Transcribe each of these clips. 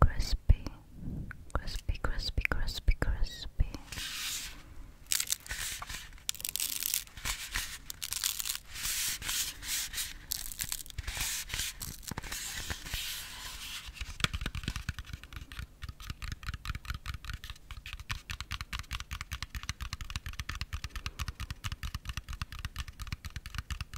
crispy, crispy, crispy, crispy, crispy.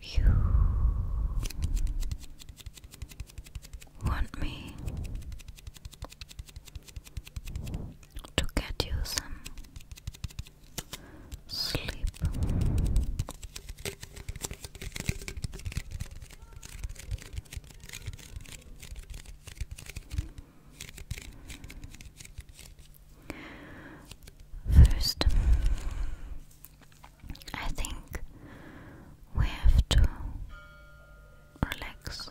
You want me to get you some sleep. First, I think we have to relax.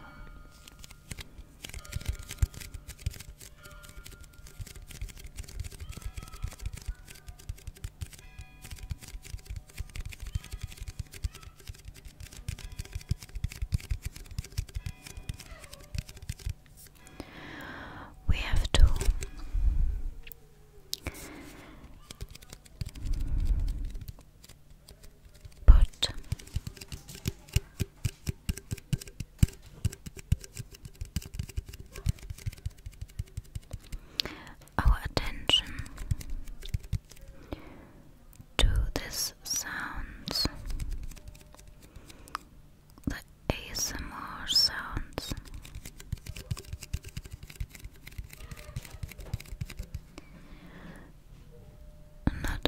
We have to Put our attention to this sounds, the ASMR sounds not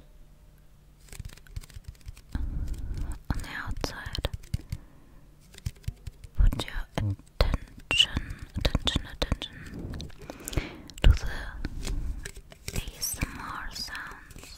on the outside. Put your attention, attention, attention to the ASMR sounds.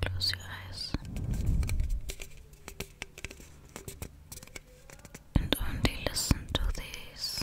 Close your eyes and only listen to these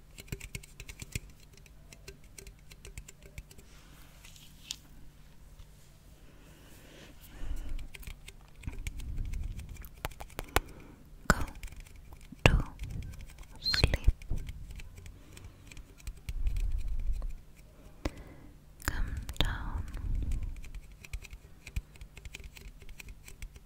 Go to sleep. Come down.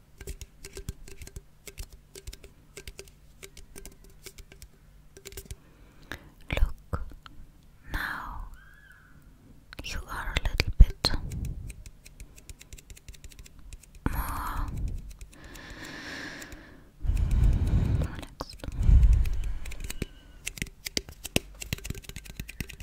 Look, now you are a little bit more relaxed.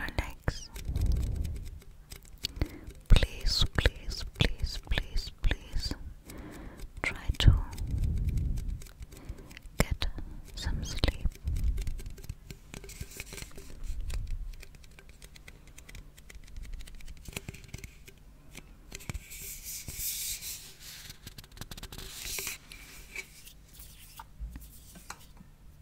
relax please please please please please try to get some sleep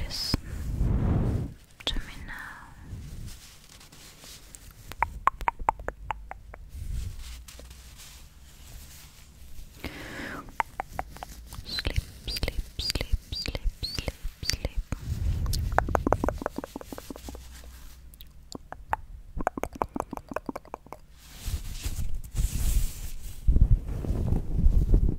Listen to me now. Sleep, sleep, sleep, sleep, sleep, sleep.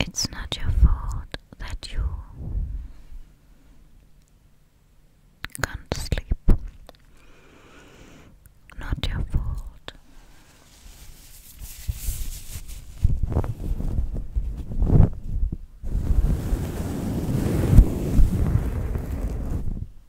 It's not your fault that you can't sleep. Not your fault.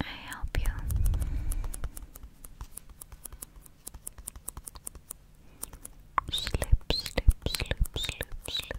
I help you. Slip, slip, slip, slip, slip.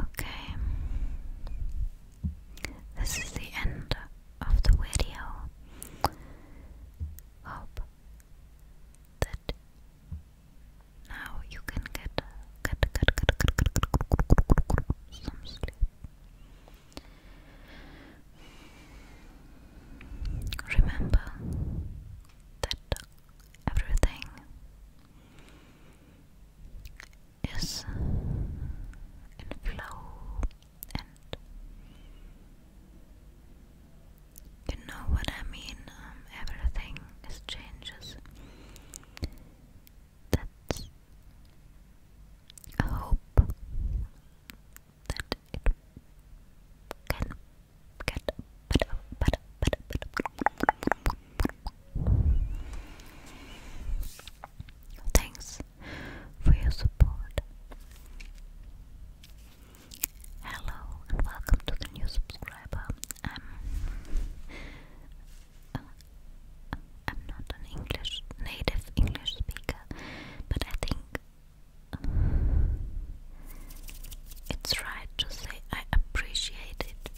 Okay, this is the end of the video. Hope that now you can get get get get get get, get, get some sleep. Remember that everything is in flow and you know what I mean, um, everything changes. That's a hope that it can Thanks for your support. Hello and welcome to the new subscriber. I'm uh, I'm not an English native English speaker, but I think it's right to say I appreciate it.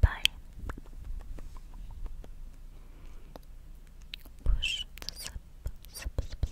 Bye. Push the zip,